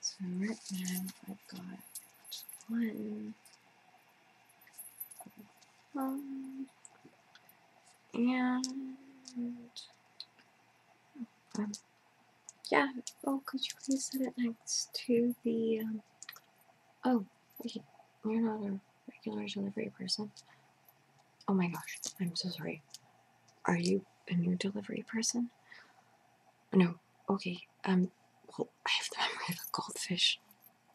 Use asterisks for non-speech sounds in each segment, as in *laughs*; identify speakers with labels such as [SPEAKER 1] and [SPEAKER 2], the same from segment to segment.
[SPEAKER 1] so right now I've got one, one and um, yeah. Oh, could you please set it next to the? Um, oh, wait, you're not a regular delivery person. Oh my gosh, I'm so sorry. Are you a new delivery person? No, okay, um, well, I have the memory of a goldfish,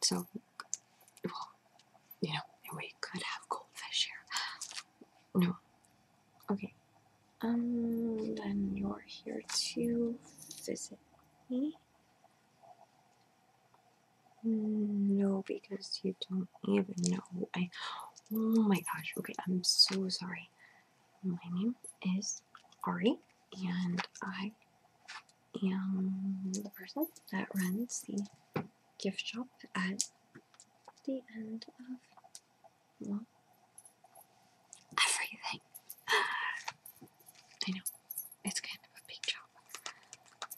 [SPEAKER 1] so, well, you know, we could have goldfish here. No, okay, um, then you're here to visit me? No, because you don't even know. I. Oh my gosh. Okay, I'm so sorry. My name is Ari, and I am the person that runs the gift shop at the end of well, everything. I know it's kind of a big job,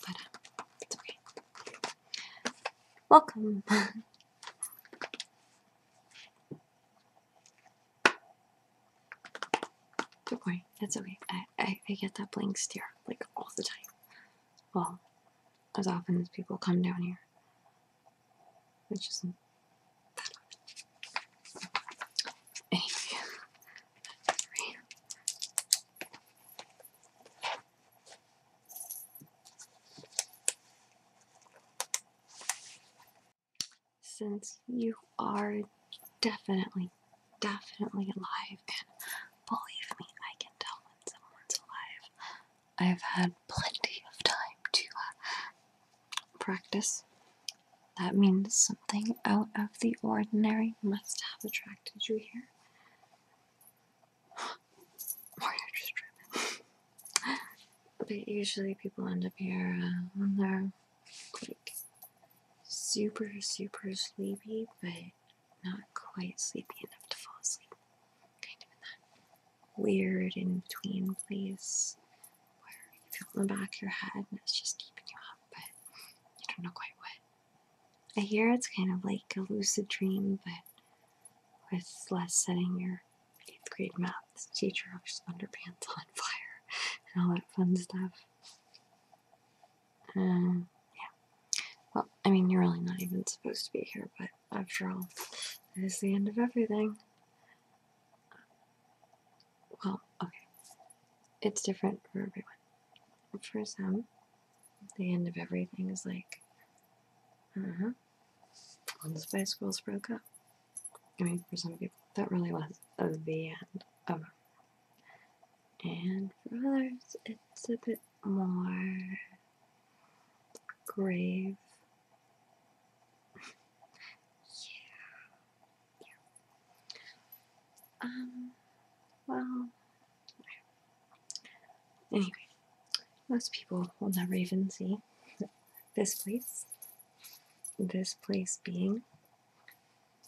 [SPEAKER 1] but um, it's okay. Welcome. *laughs* Don't that's okay. I, I, get that blank stare like all the time. Well, as often as people come down here, which isn't that often. Anyway, right. Since you are definitely, definitely alive, and believe me, I can tell when someone's alive. I've had plenty of time to uh, practice. That means something out of the ordinary must have attracted you here. Mario *gasps* just *laughs* But usually people end up here when uh, they're like super, super sleepy, but not quite sleepy enough to fall asleep. Kind of in that weird in between place where you feel in the back of your head and it's just keeping you up, but you don't know quite what. I hear it's kind of like a lucid dream, but with less setting your eighth grade math teacher's underpants on *laughs* fire and all that fun stuff. Uh, yeah. Well, I mean, you're really not even supposed to be here, but after all, it is the end of everything. Well, okay. It's different for everyone. For some, the end of everything is like, uh huh, when the Spice Girls broke up. I mean, for some people, that really was the end And for others, it's a bit more grave. yeah. *laughs* yeah. Um, well, anyway, most people will never even see this place. This place being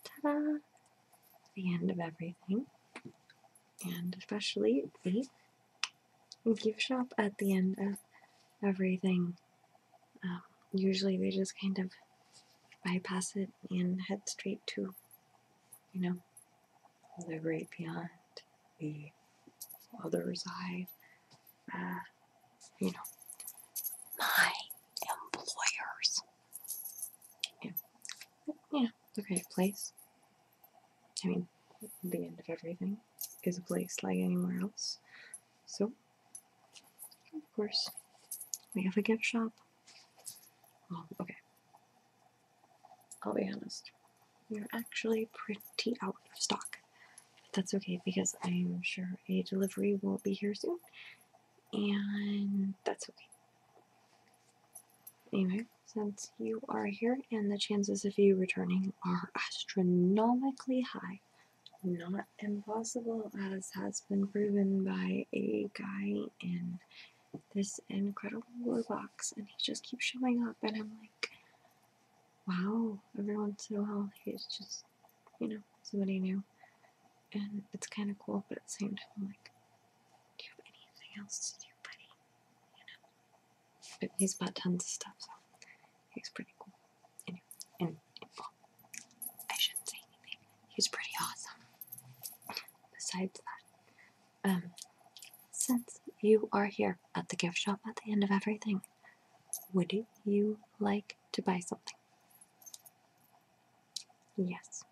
[SPEAKER 1] ta-da, the end of everything, and especially the gift shop at the end of everything. Um, usually they just kind of bypass it and head straight to, you know, the great beyond, the other side, uh, you know, my employers. Yeah. You know, place. I mean, the end of everything is a place like anywhere else. So, of course, we have a gift shop. Oh, okay. I'll be honest we are actually pretty out of stock. But that's okay because I'm sure a delivery will be here soon, and that's okay. Anyway, since you are here and the chances of you returning are astronomically high, not impossible as has been proven by a guy in this incredible box and he just keeps showing up and I'm like wow every once in a while. It's just, you know, somebody new. And it's kind of cool, but at the same time, like, do you have anything else to do, buddy? You know? But he's bought tons of stuff, so he's pretty cool. Anyway, and, well, I shouldn't say anything. He's pretty awesome. Besides that, um, since you are here at the gift shop at the end of everything, would you like to buy something? Yes.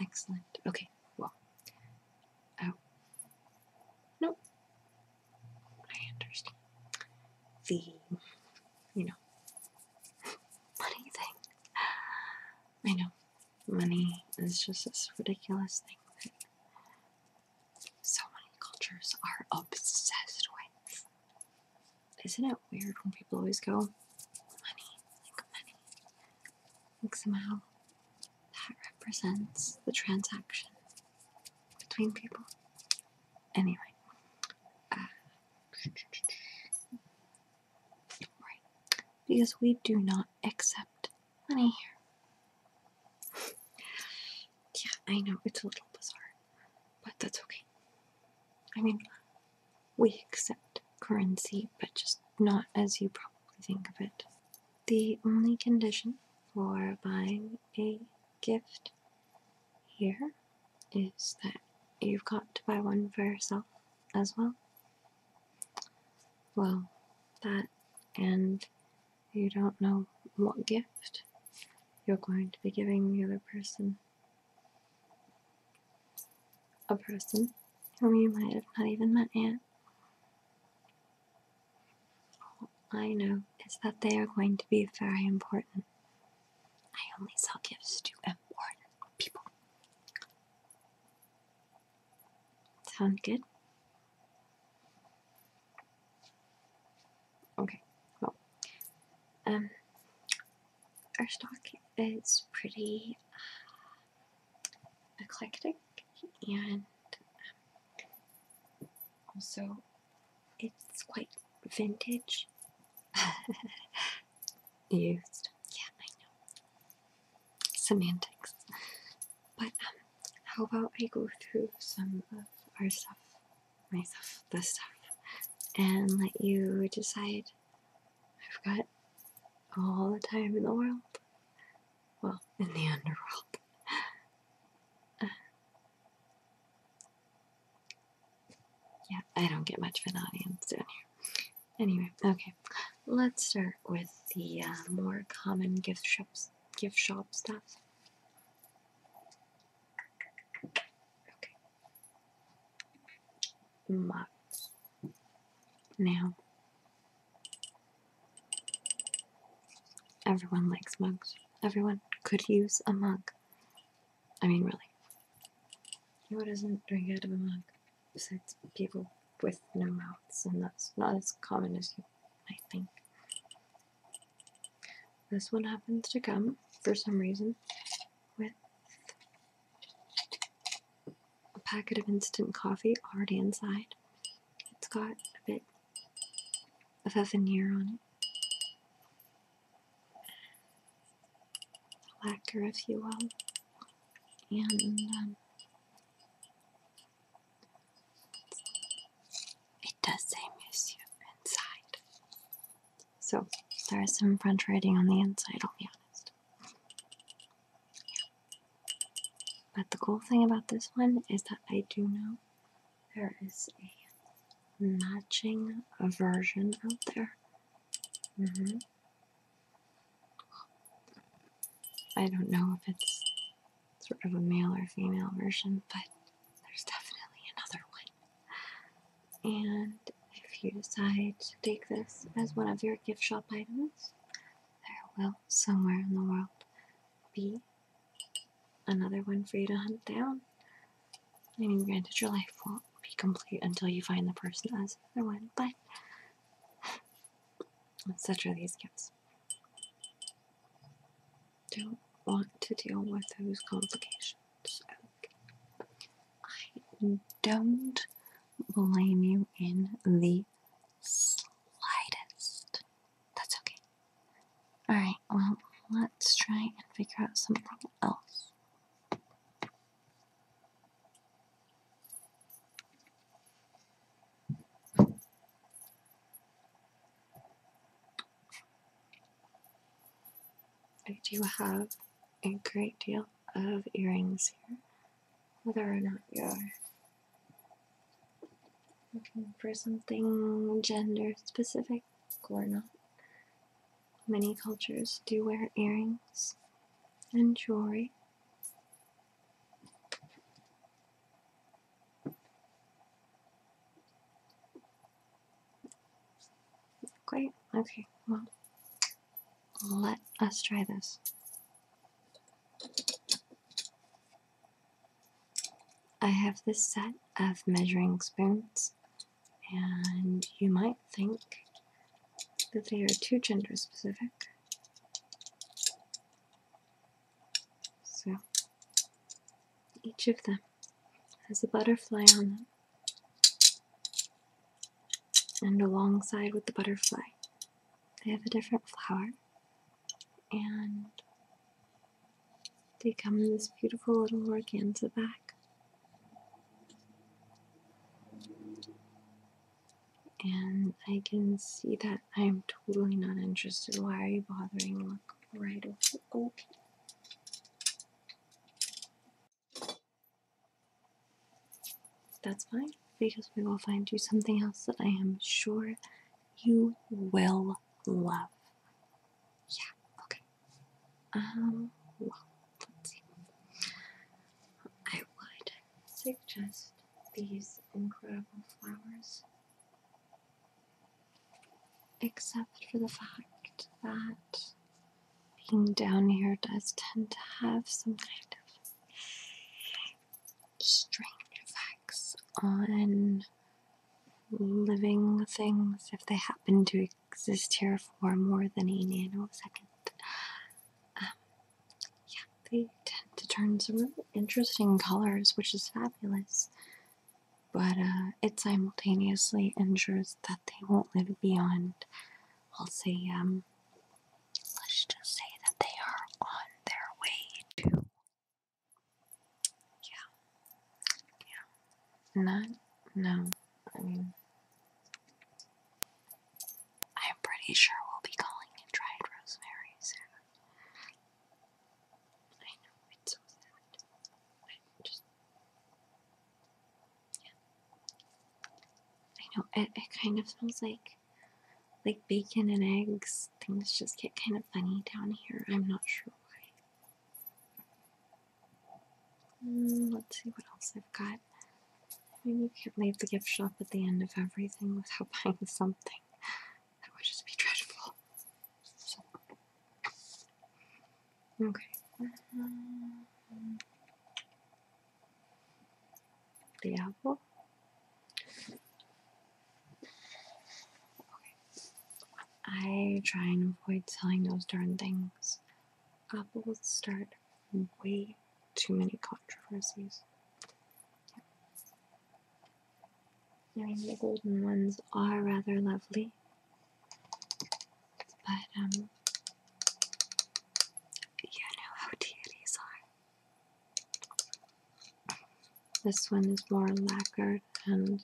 [SPEAKER 1] Excellent. Okay, well. Oh. Nope. I understand. The, you know, money thing. I know. Money is just this ridiculous thing so many cultures are obsessed with. Isn't it weird when people always go, money, like money? Like somehow that represents the transaction between people. Anyway. Uh, *laughs* because we do not accept money here yeah, I know it's a little bizarre, but that's okay. I mean, we accept currency, but just not as you probably think of it. The only condition for buying a gift here is that you've got to buy one for yourself as well. Well, that and you don't know what gift you're going to be giving the other person. A person whom you might have not even met yet. All I know is that they are going to be very important. I only sell gifts to important people. Sound good? Okay, well, um, our stock is pretty uh, eclectic and um, also it's quite vintage *laughs* used. Yeah, I know. Semantics. But um, how about I go through some of our stuff myself the stuff and let you decide. I've got all the time in the world. Well, in the underworld. *sighs* yeah, I don't get much of an audience down here. Anyway, okay, let's start with the uh, more common gift shops, gift shop stuff. But now everyone likes mugs. Everyone could use a mug. I mean, really. Who doesn't drink out of a mug? Besides people with no mouths, and that's not as common as you might think. This one happens to come for some reason with a packet of instant coffee already inside. It's got a bit of Evaneer on it, lacquer, if you will, and um, it does say Monsieur inside. So there is some French writing on the inside, I'll be honest. But the cool thing about this one is that I do know there is a matching version out there. Mm-hmm. I don't know if it's sort of a male or female version, but there's definitely another one. And if you decide to take this as one of your gift shop items, there will somewhere in the world be another one for you to hunt down. I mean, granted, your life won't be complete until you find the person as another one, but *laughs* such are these gifts don't want to deal with those complications. I don't blame you in the slightest. That's okay. Alright, well, let's try and figure out something else. I do have a great deal of earrings here, whether or not you're looking for something gender specific or not. Many cultures do wear earrings and jewelry. Great. Okay, well, let us try this. I have this set of measuring spoons, and you might think that they are too gender specific. So each of them has a butterfly on them, And alongside with the butterfly, they have a different flower. And they come in this beautiful little organza bag. And I can see that I'm totally not interested. Why are you bothering? Look right over that's fine because we will find you something else that I am sure you will love. Yeah, okay. Um, well, let's see. I would suggest these incredible flowers except for the fact that being down here does tend to have some kind of strange effects on living things if they happen to exist here for more than a nanosecond. Um, yeah, they tend to turn some really interesting colors, which is fabulous but uh, it simultaneously ensures that they won't live beyond, I'll say, um, let's just say that they are on their way to, yeah, yeah, not, no, I mean, I'm pretty sure we'll be calling it dried rosemary soon. I know, it's so sad. I know it, it kind of smells like like bacon and eggs. Things just get kind of funny down here. I'm not sure why. Mm, let's see what else I've got. I mean, you can't leave the gift shop at the end of everything without *laughs* buying something. That would just be dreadful. Okay. The apple. I try and avoid telling those darn things. Apples start way too many controversies. I mean, the golden ones are rather lovely, but um, you know how deities are. This one is more lacquered and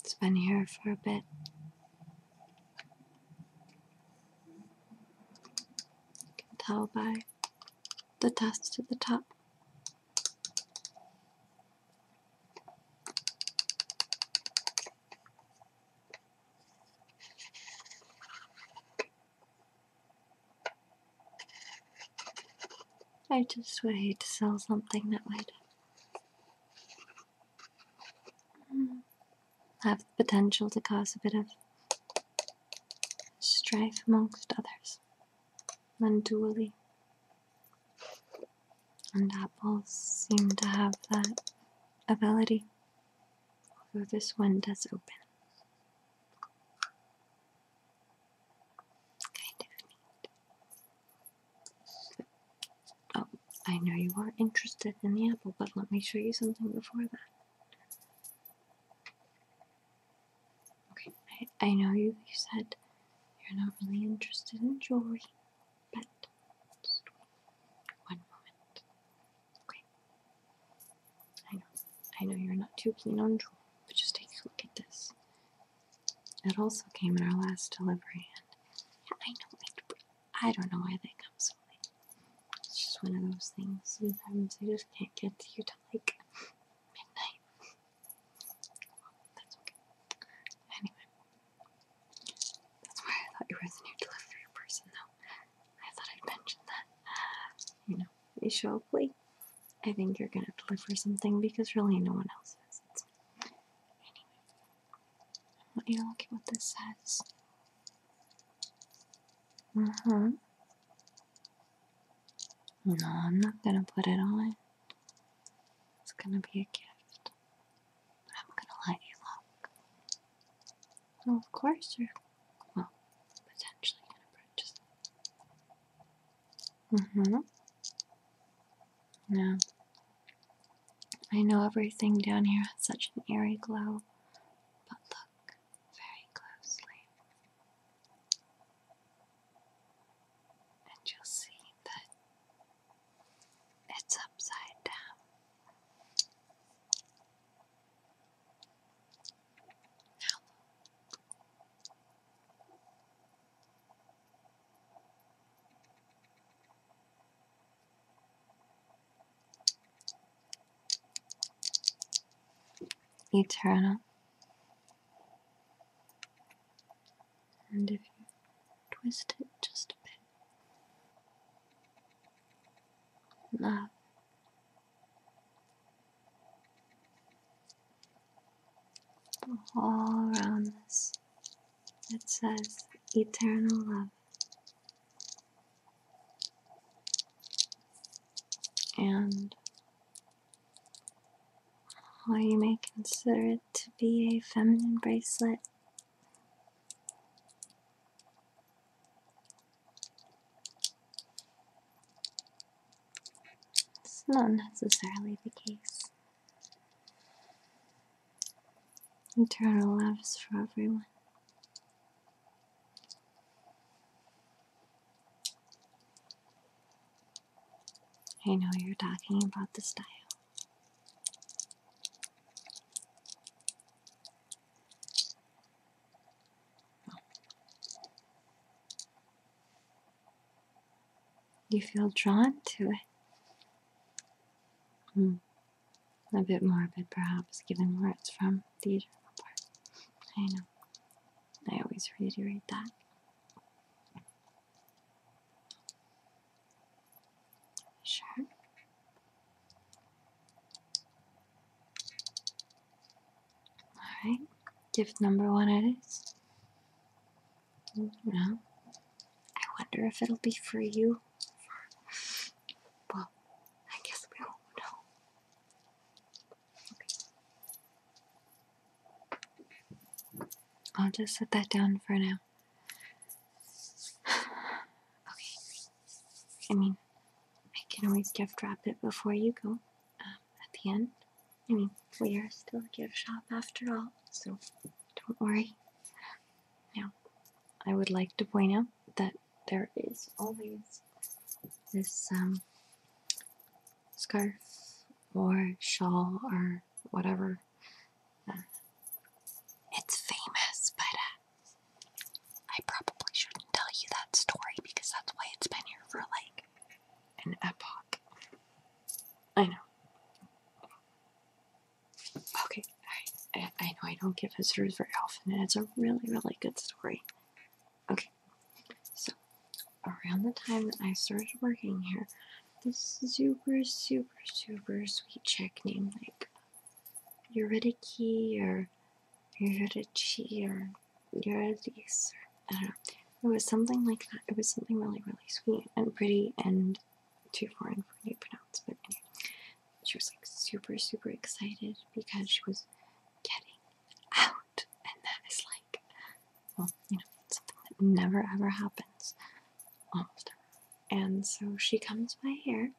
[SPEAKER 1] it's been here for a bit. You can tell by the dust at the top. I just would hate to sell something that might have the potential to cause a bit of strife amongst others unduly. And apples seem to have that ability, although this one does open. Kind of neat. oh, I know you are interested in the apple, but let me show you something before that. Okay, I, know you said you're not really interested in jewelry, but one moment. Okay. I know. I know you're not too keen on jewelry, but just take a look at this. It also came in our last delivery, and I know I don't know why they come so late. It's just one of those things. Sometimes I just can't get to you till like midnight. Anyway, that's why I thought you were the new delivery person, though. I thought I'd mention that. Uh, you know, Aisha Oakley, I think you're gonna deliver something because really no one else is. It's Anyway, I want you to look at what this says. Uh mm-hmm. huh. No, I'm not gonna put it on. It's gonna be a gift. but I'm gonna let you look. Well, of course, you're well, potentially gonna purchase it. mm Yeah. I know everything down here has such an eerie glow, but look very closely. And you'll see that it's upside down. Eternal and if you twist it just a bit, love. All around us. it says eternal love. And or you may consider it to be a feminine bracelet. It's not necessarily the case. Eternal love is for everyone. I know you're talking about the style. You feel drawn to it. Hmm. A bit morbid, perhaps, given where it's from, the eternal I know. I always reiterate that. Sure. Alright, give number one is. No. I wonder if it'll be for you. Well, I guess we won't know. Okay. I'll just set that down for now okay. I mean, I can always gift wrap it before you go um, at the end. I mean, we are still a gift shop after all, so don't worry. Now, I would like to point out that there is always this um, scarf or shawl or whatever it's famous, but uh, I probably shouldn't tell you that story because that's why it's been here for like an epoch. I know. Okay, I, I, know I don't give visitors very often, and it's a really, really good story. Okay, so around the time that I started working here, this super, super, super sweet check name like Eurydice or Eurydice or Eurydice or I don't know. It was something like that. It was something really, really sweet and pretty and too foreign for me to pronounce. But anyway, she was like super, super excited because she was getting out, and that is like well, you know, something that never ever happens, almost And so she comes by here,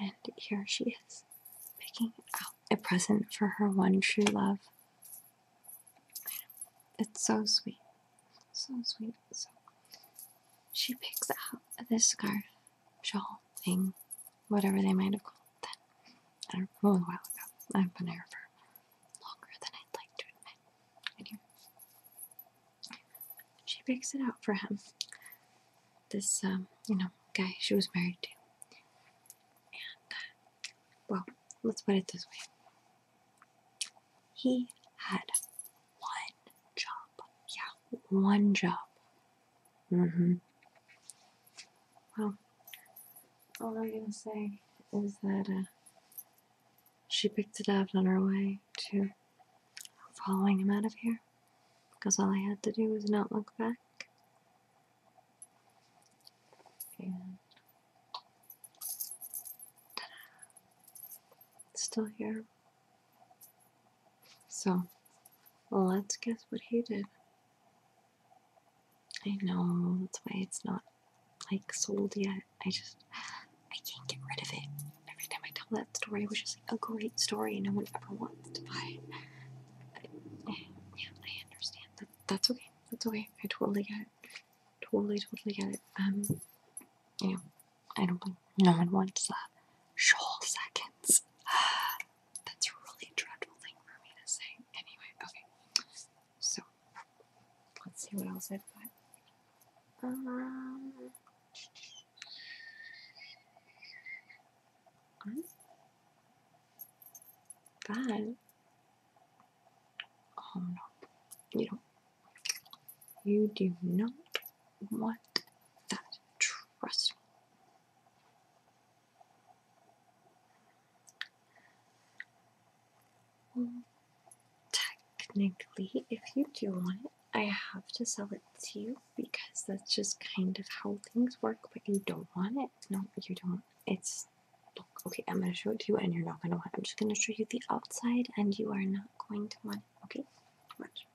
[SPEAKER 1] and here she is, picking out a present for her one true love. It's so sweet, so sweet. So she picks out this scarf, shawl thing, whatever they might have called that. I don't know, a while ago. I've been here for longer than I'd like to admit she picks it out for him. This, um, you know, guy she was married to. And, uh, well, let's put it this way he had one job. Yeah, one job. Mm hmm. Well, all I'm gonna say is that, uh, she picked it up on her way to following him out of here because all I had to do was not look back. And still here. So let's guess what he did. I know that's why it's not like sold yet. I just I can't get rid of it. Every time I tell that story, which is like a great story, and no one ever wants to buy. It. I, eh, yeah, I understand. That, that's okay. That's okay. I totally get it. Totally, totally get it. Um, you know, I don't think no one wants that. Shoal seconds. *sighs* That's a really dreadful thing for me to say. Anyway, okay. So Let's see what else I've got. Um, that. Oh no, you don't. You do not want that. Trust me technically, if you do want it, I have to sell it to you because that's just kind of how things work. But you don't want it. No, you don't. It's look, okay. I'm gonna show it to you, and you're not gonna want. I'm just gonna show you the outside, and you are not going to want it. Okay, watch.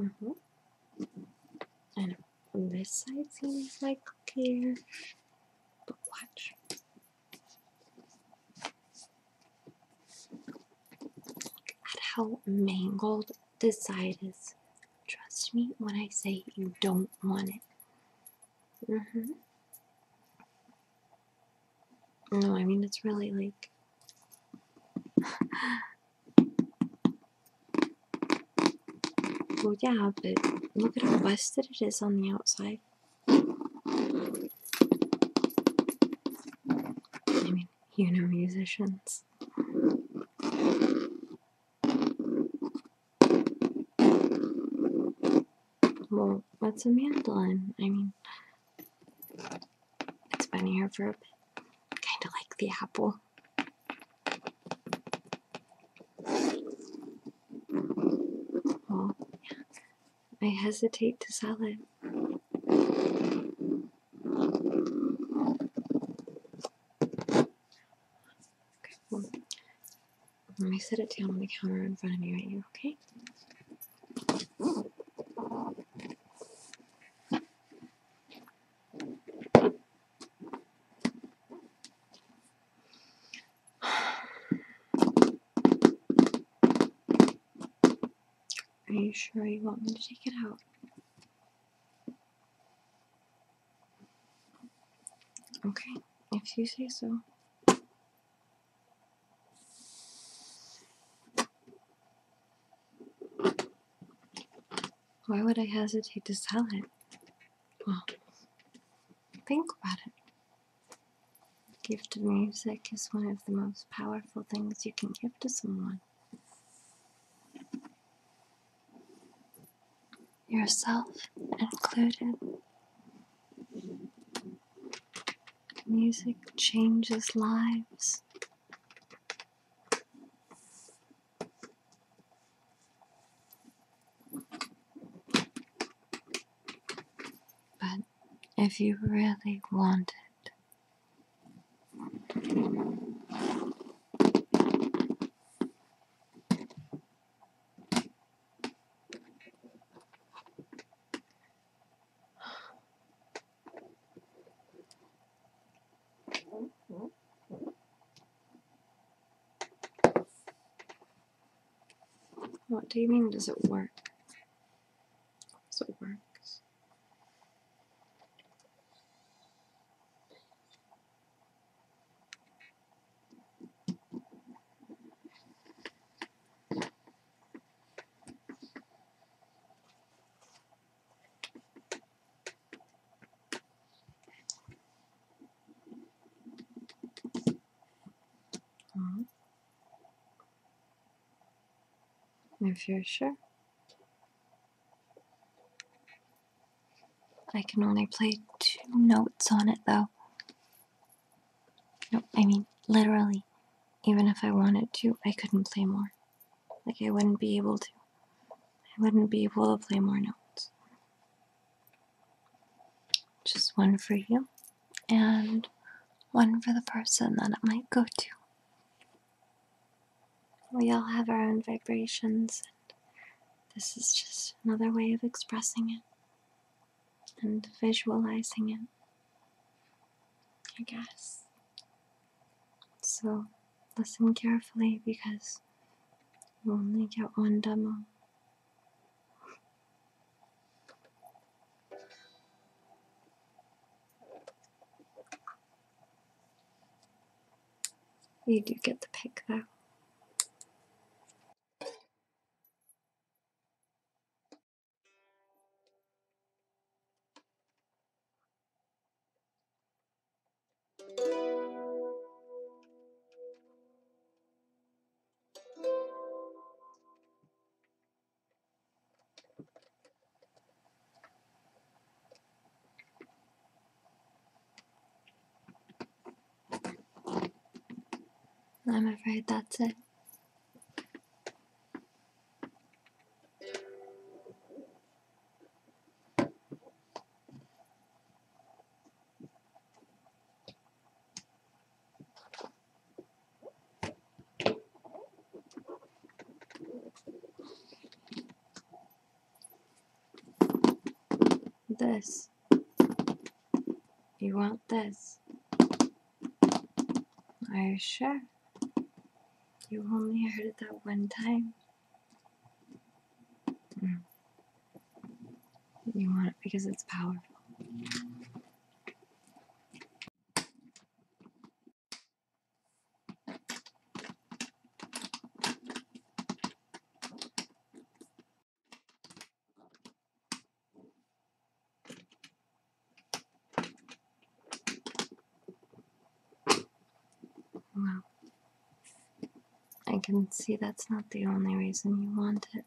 [SPEAKER 1] Mm-hmm. And this side seems like clear, but watch. Look at how mangled this side is. Trust me when I say you don't want it. Mm -hmm. No, I mean, it's really like. *laughs* Well, yeah, but look at how busted it is on the outside. I mean, you know, musicians. Well, that's a mandolin? I mean, it's been here for a bit. Kinda like the apple now. Oh, well, I hesitate to sell it. Okay, let me set it down on the counter in front of me right here, okay? Are you sure you want me to take it out? Okay, if you say so. Why would I hesitate to sell it? Well, think about it. The gift of music is one of the most powerful things you can give to someone. Yourself included. Music changes lives. But if you really want it, what do you mean, does it work? Does it work? Uh-huh. If you're sure. I can only play two notes on it though. No, I mean, literally, even if I wanted to, I couldn't play more. Like, I wouldn't be able to. I wouldn't be able to play more notes. Just one for you and one for the person that it might go to. We all have our own vibrations, and this is just another way of expressing it and visualizing it, I guess. So listen carefully because you only get one demo. You do get the pick though. I'm afraid that's it. This. You want this. Are you sure? You only heard it that one time. Mm. You want it because it's powerful. Wow, I can see that's not the only reason you want it.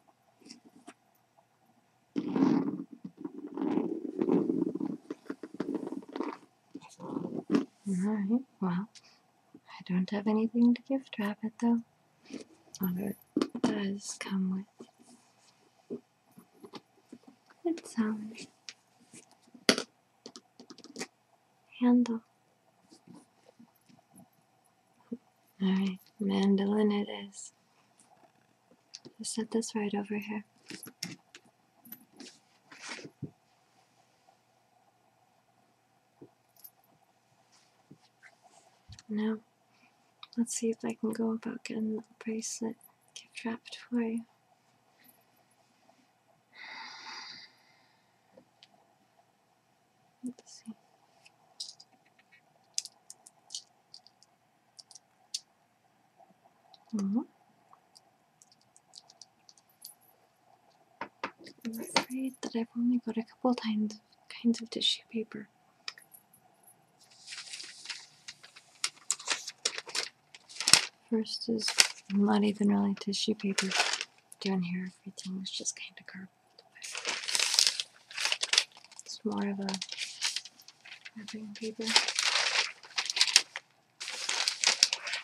[SPEAKER 1] Alright, well, I don't have anything to gift wrap it though. Although it does come with its own handle. All right, mandolin it is. Just set this right over here. Now, let's see if I can go about getting the bracelet gift wrapped for you. Let's see. -hmm. I'm afraid that I've only got a couple kinds of, kinds of tissue paper. First is not even really tissue paper down here. Everything is just kind of garbage. It's more of a wrapping paper.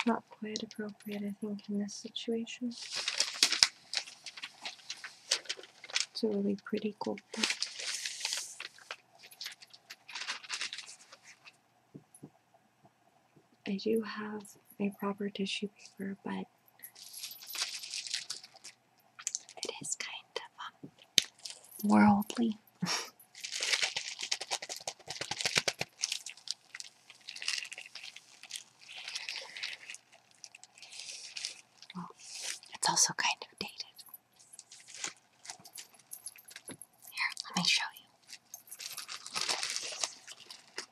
[SPEAKER 1] Not quite appropriate, I think, in this situation. It's a really pretty gold cool I do have a proper tissue paper, but it is kind of um, worldly. *laughs* well, it's also kind of dated. Here, let me show you.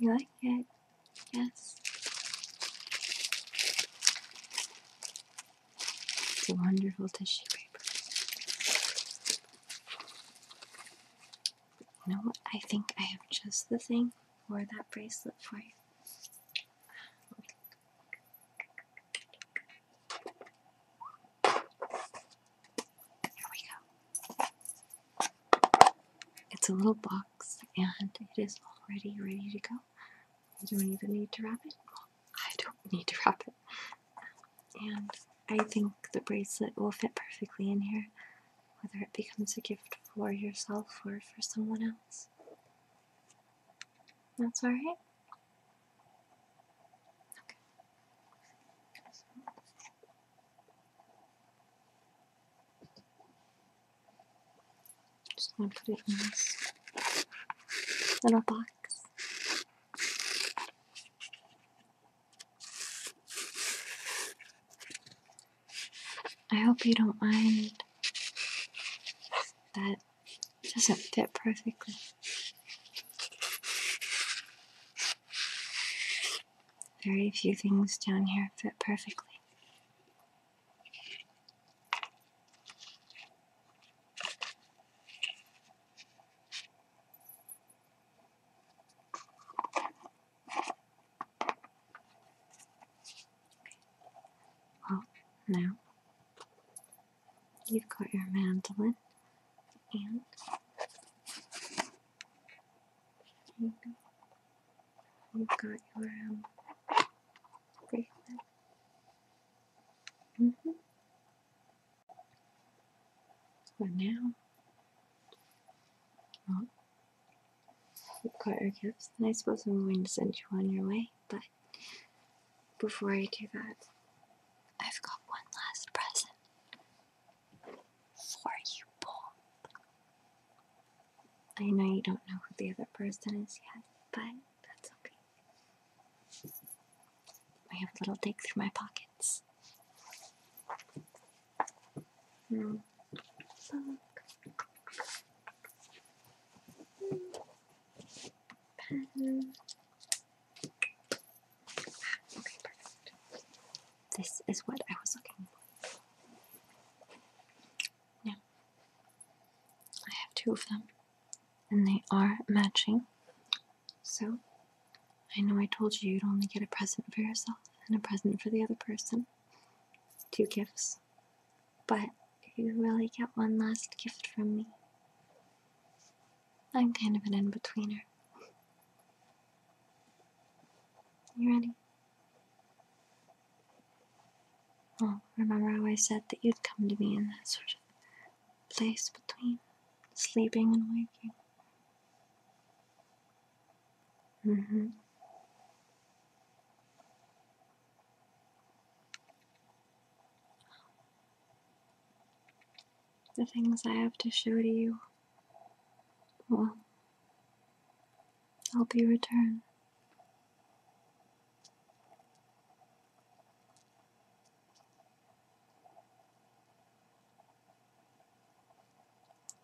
[SPEAKER 1] You like it? Yes. It's a wonderful tissue paper. You know what? I think I have just the thing for that bracelet for you. Here we go. It's a little box and it is already ready to go. I don't even need to wrap it. I don't need to wrap it. And I think the bracelet will fit perfectly in here, whether it becomes a gift for yourself or for someone else. That's all right. Okay. Just gonna put it in this little box. I hope you don't mind that it doesn't fit perfectly. Very few things down here fit perfectly. Well, oh, now you've got your mandolin and you have got your um, bracelet. Mm -hmm. So now, well, oh, you've got your gifts, and I suppose I'm going to send you on your way, but before I do that, I've got one last present for you both. I know you don't know who the other person is yet, but that's okay. I have a little dig through my pockets. Mm okay, perfect. This is what I was looking for. Now, I have two of them, and they are matching. So, I know I told you you'd only get a present for yourself and a present for the other person. Two gifts. But you really get one last gift from me. I'm kind of an in betweener. You ready? Well, remember how I said that you'd come to me in that sort of place between sleeping and waking? Mm hmm. The things I have to show to you will help you return.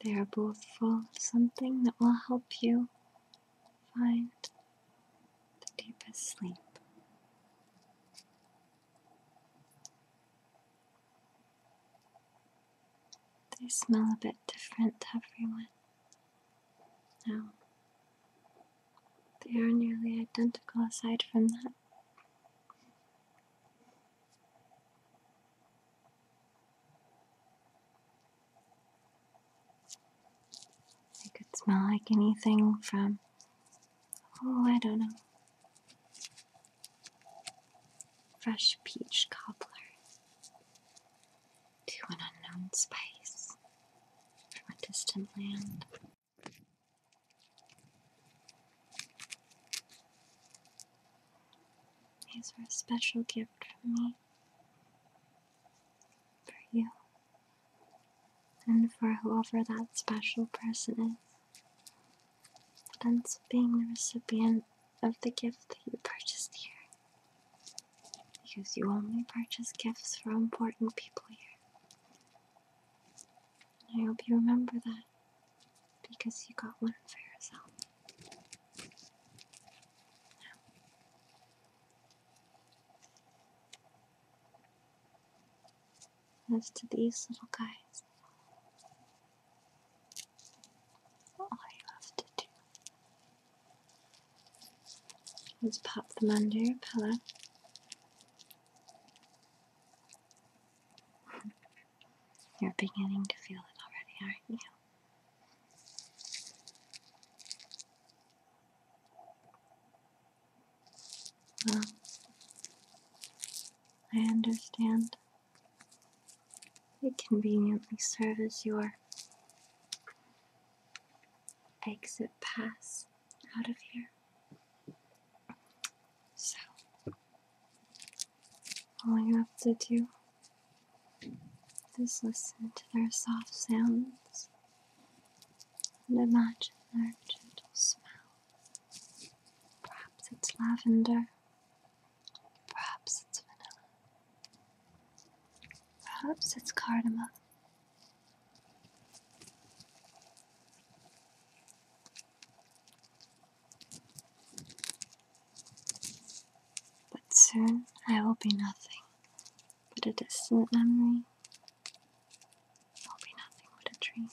[SPEAKER 1] They are both full of something that will help you find the deepest sleep. They smell a bit different to everyone. No, they are nearly identical aside from that. It could smell like anything from, oh, I don't know, fresh peach cobbler to an unknown spice from a distant land. These are a special gift for me for you and for whoever that special person is. It being the recipient of the gift that you purchased here. Because you only purchase gifts for important people here. And I hope you remember that because you got one for yourself. As to these little guys, all I have to do is pop them under your pillow. *laughs* You're beginning to feel it already, aren't you? Well, I understand. I conveniently serve as your exit pass out of here. So, all you have to do is listen to their soft sounds and imagine their gentle smell. Perhaps it's lavender, perhaps it's vanilla, perhaps it's cardamom. But soon I will be nothing but a distant memory. I'll be nothing but a dream.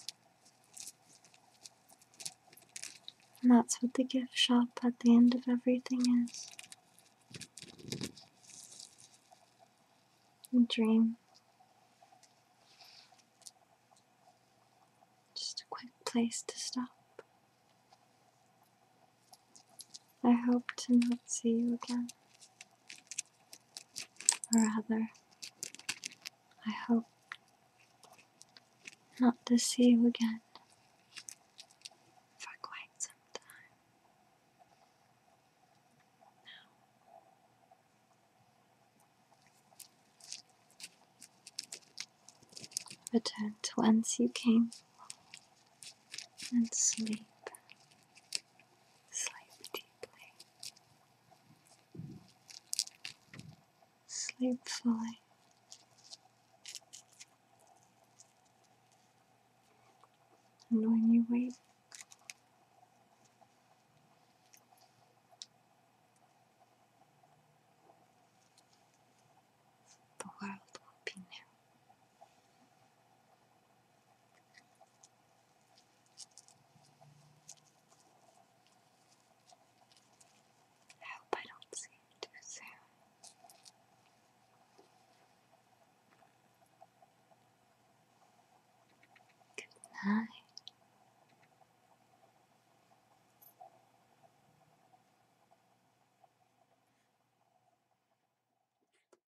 [SPEAKER 1] And that's what the gift shop at the end of everything is a dream. Just a quick place to stop. I hope to not see you again rather, I hope not to see you again for quite some time. Now, return whence you came and sleep. Sleep deeply. Sleep fully. And when you wake, the world will be new. I hope I don't see it too soon. Good night.